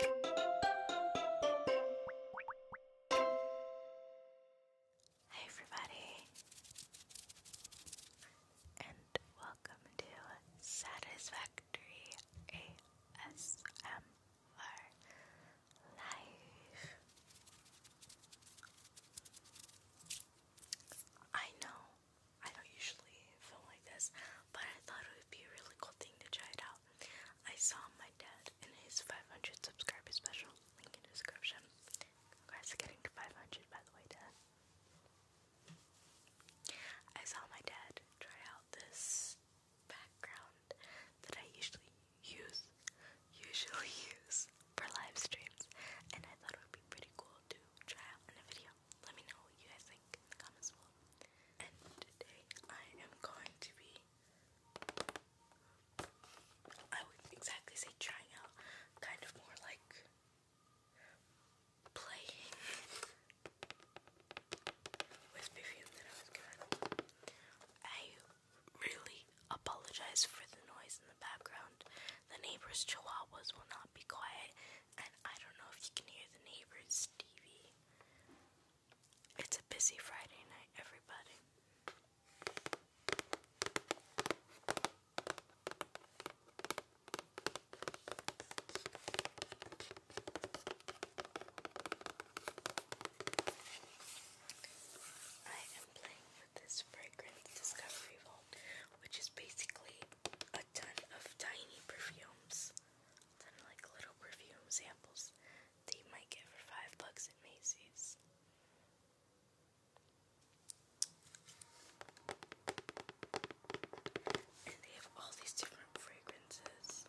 Hi everybody, and welcome to Satisfactory ASMR Live. I know I don't usually film like this but I thought it would be a really cool thing to try it out. I saw my dad in his 500 subscriber special, link in description. Congrats getting to 500 by the way, Dad. I saw my dad try out this background that I usually use, usually use for live streams, and I thought it would be pretty cool to try out in a video. Let me know what you guys think in the comments below today I am going to be I would exactly say trying out, kind of more like playing with perfume I really apologize for the noise in the background. The neighbor's chihuahuas will not be quiet, and I don't know if you can hear the neighbor's TV. It's a busy Friday night, everybody. I am playing with this fragrance discovery vault, which is basically a ton of tiny perfumes like little perfume samples that you might get for five bucks at Macy's. And they have all these different fragrances.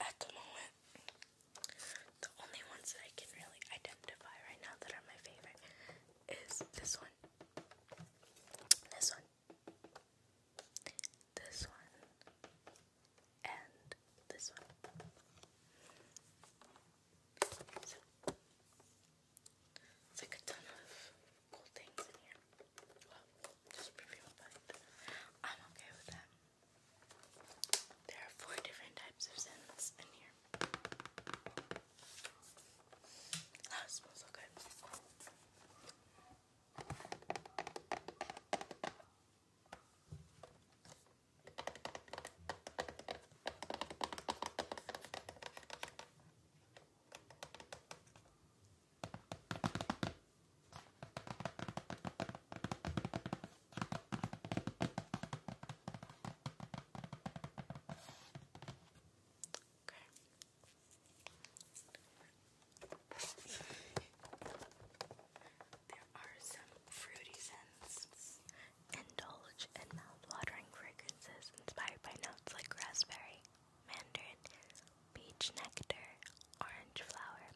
At the moment, the only ones that I can really identify right now that are my favorite is this one, this one, this one, and this one. It's like a ton of cool things in here. I'm okay with that. There are four different types of scents in here. Oh, smells so good there are some fruity scents, indulge in mouth-watering fragrance inspired by notes like raspberry, mandarin, peach nectar, orange flower,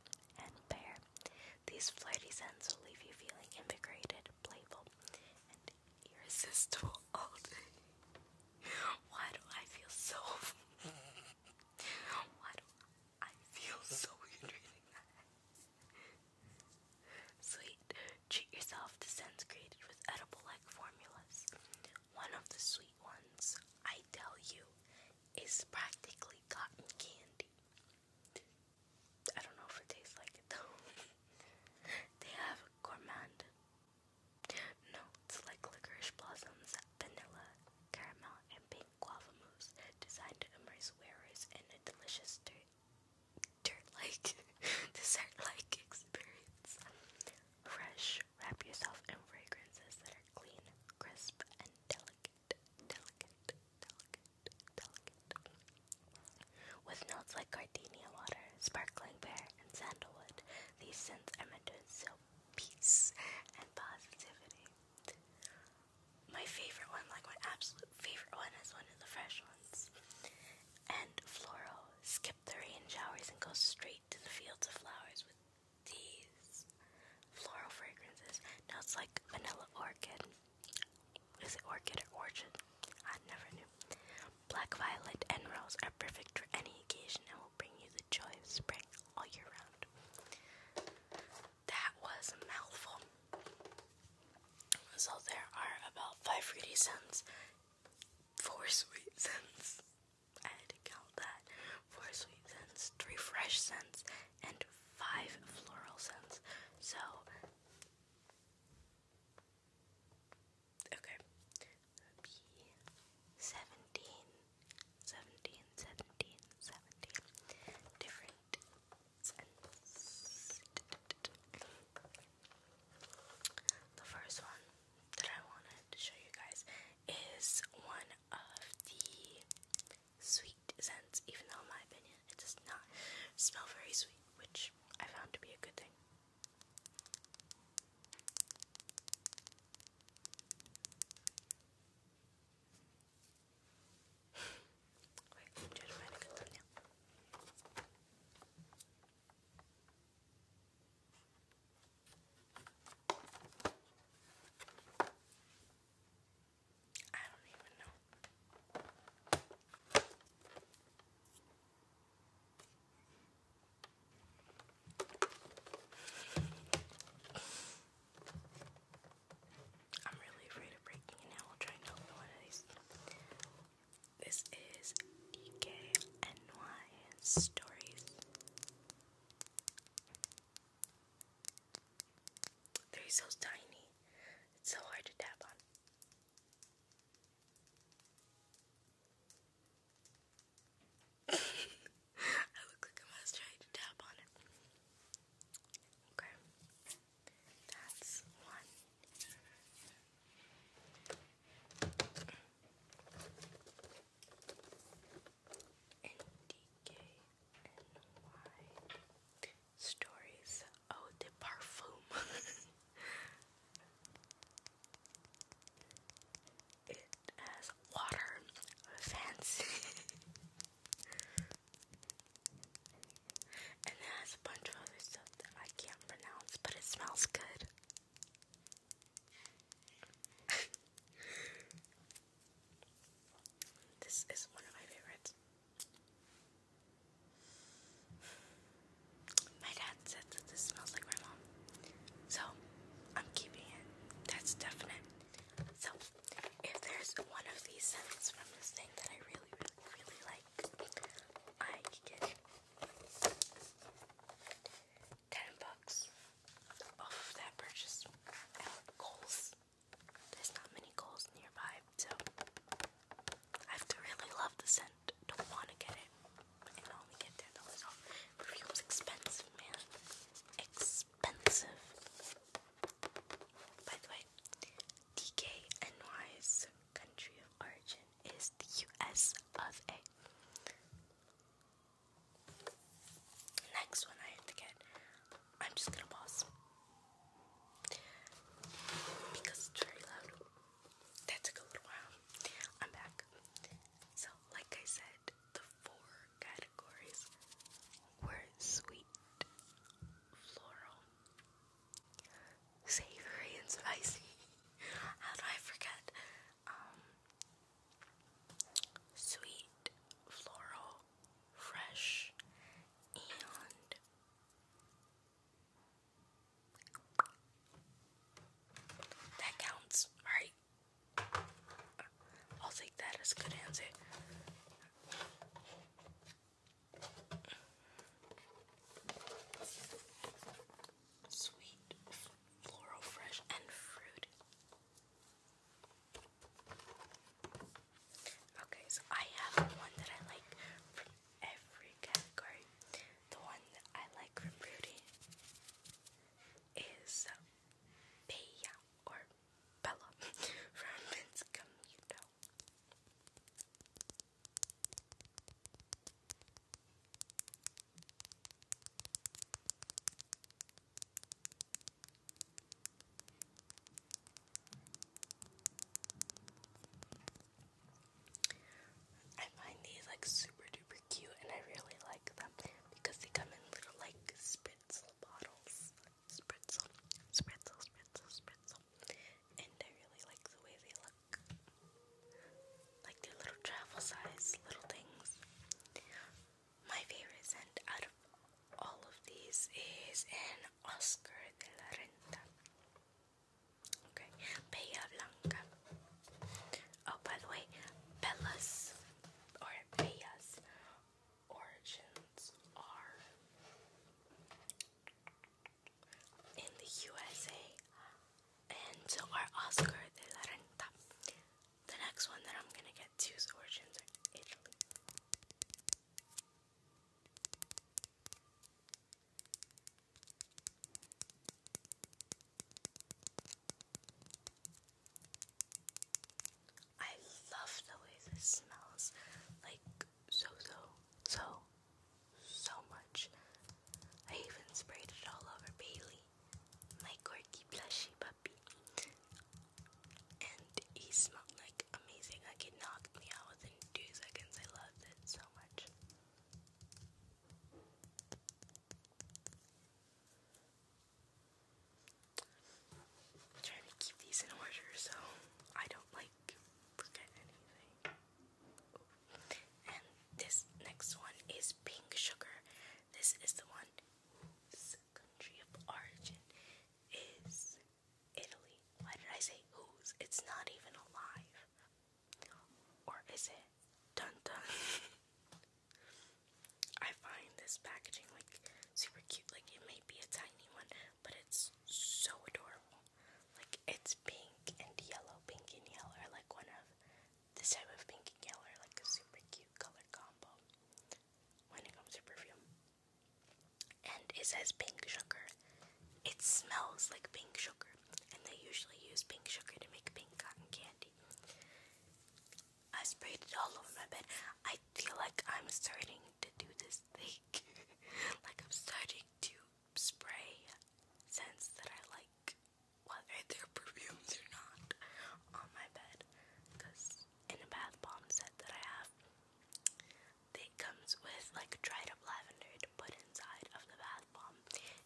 and pear. These flighty scents will leave you feeling invigorated, playful, and irresistible all day. Oh, why do I feel so? Why do I feel so weird reading that? Sweet Treat yourself to scents created with edible like formulas. One of the sweet ones, I tell you, is practically cotton candy. I don't know if it tastes like it though. they have gourmand. Notes like licorice blossoms, vanilla, caramel, and pink guava mousse designed to immerse wearers in a delicious dirt like desert like experience. Fresh, wrap yourself in fragrances that are clean, crisp, and delicate. Delicate, delicate, delicate. With notes like gardenia water, sparkling pear, and sandalwood, these scents are meant to instill peace and positivity. My favorite one, like my absolute favorite one, is one of the fresh ones. And floral, skip the showers and go straight to the fields of flowers with these floral fragrances. Now it's like vanilla orchid. Is it orchid or orchid? I never knew. Black violet and rose are perfect for any occasion and will bring you the joy of spring all year round. That was a mouthful. So there are about five fruity scents four sweet scents. I had to count that. Four sweet scents, three fresh scents, and five floral scents. So, okay. B different scents. The first one that I wanted to show you guys is one of the sweet scents, even though, in my opinion, it does not smell very sweet, which I found to be a good thing. I don't even know. I'm really afraid of breaking an apple trying to open one of these. This is DKNY Stories. They're so tiny, it's so hard to tap on. I look like a master trying to tap on it. Okay. That's one. NDKNY stories. Oh, the parfum. it has water. Fancy. And it has a bunch of other stuff that I can't pronounce, but it smells good. this is one of my favorites. My dad said that this smells like my mom. So, I'm keeping it. That's definite. So, if there's one of these scents from this thing that I really, really, really like, I get 10 bucks off that purchase at There's not many Kohl's nearby, so I have to really love the scent to want to get it and only get $10 off. Perfume's expensive, man. Expensive. By the way, DK NY's country of origin is the US of A. Next one I have to get. I'm just gonna pause. Because it's very loud. That took a little while. I'm back. So, like I said, the four categories were sweet, floral, savory and spicy. How do I forget? Um, sweet, floral, fresh, and that counts, right? I'll take that as a good answer. Sweet, floral, fresh, and fruit. Okay, so I have one that I like from every category. The one that I like from Rudy is Bella or Bella from Vince Camuto. I find these like super duper cute and I really like them because they come in little like spritzel bottles. Spritzel, spritzel, spritzel, spritzel and I really like the way they look. Like their little travel size little things. My favorite scent out of all of these is an Oscar de la Renta. Okay, Bella Blanca. Oh, by the way, Bella's or Bella's origins are in the USA and so our Oscar de la Renta. The next one that I'm gonna get to is origins in Italy. I love the way this smells like so so so so much. I even sprayed it all over Bailey, my quirky plushy puppy. And he smelled like amazing. Like it knocked me out within two seconds. I loved it so much. trying to keep these in order so I don't like this next one is pink sugar. This is the one whose country of origin is Italy. Why did I say whose? It's not even alive. Or is it? Dun dun. I find this packaging like super cute. Like it may be a tiny one, but it's so adorable. Like it's pink and yellow, pink and yellow are like one of this type of pink and yellow are like a super cute color combo when it comes to perfume. And it says pink sugar. It smells like pink sugar, and they usually use pink sugar to make pink cotton candy. I sprayed it all over my bed. I feel like I'm starting to do this thing like. I'm starting to spray scents that I like, whether they're perfumes or not, on my bed. Because in a bath bomb set that I have, it comes with like dried up lavender put inside of the bath bomb,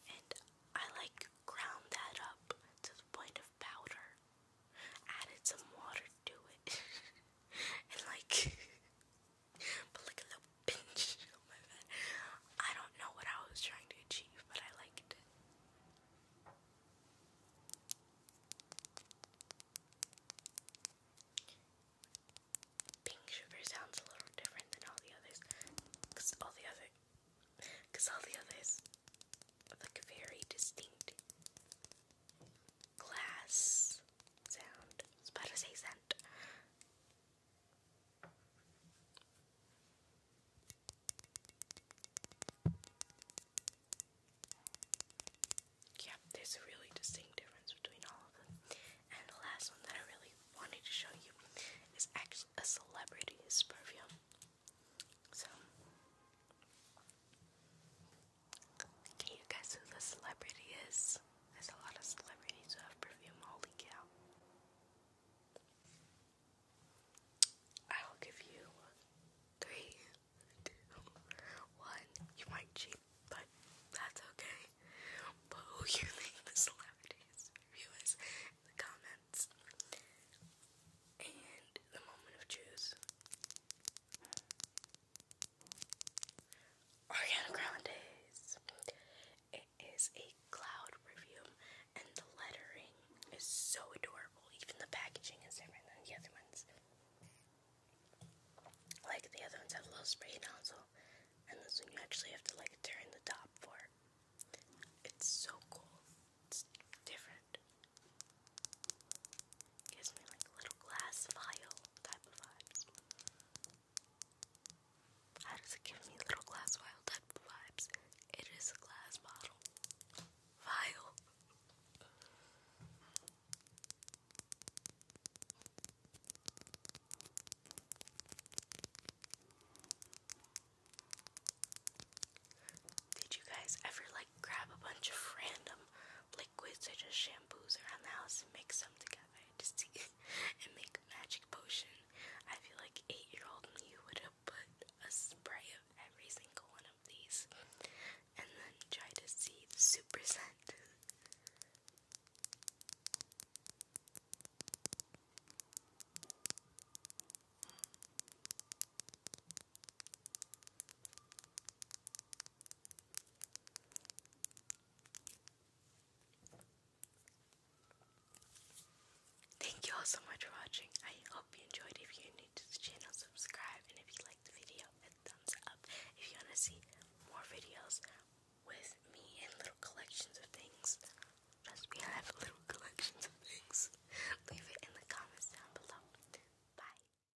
and I like ground that up to the point of powder, added some water to it, and like but like a little pinch on my bed. I don't know what I was trying to achieve, but I liked it. Pink sugar sounds a little different than all the others, cause all the other, cause all the others, like very distinct glass sound. I was to say scent. Yep, there's a really distinct difference between all of them. And the last one that I really wanted to show you is actually a celebrity perfume. So, can you guess who the celebrity is? There's a lot of celebrities who have perfume, holy cow. I'll give you three, two, one. You might cheat, but that's okay. But who you think the celebrities review is in the comments. And the moment of truth. Ariana Grande's. It is a cloud perfume, and the lettering is so adorable. Even the packaging is different than the other ones. Like the other ones have a little spray nozzle, and this one you actually have to like turn the top for. It's so cool. It's different. Gives me like a little glass vial type of vibes. How does it give me little glass vial type of vibes? It is a glass bottle. Vial. Did you guys ever like grab a bunch of random like? liquids such just shampoos around the house and mix them together just and make a magic potion. I feel like eight year old me would have put a spray of every single one of these and then try to see the super scent. Thank you all so much for watching. I hope you enjoyed. If you're new to the channel, subscribe. And if you like the video, a thumbs up. If you want to see more videos with me and little collections of things, must be I have little collections of things. Leave it in the comments down below. Bye.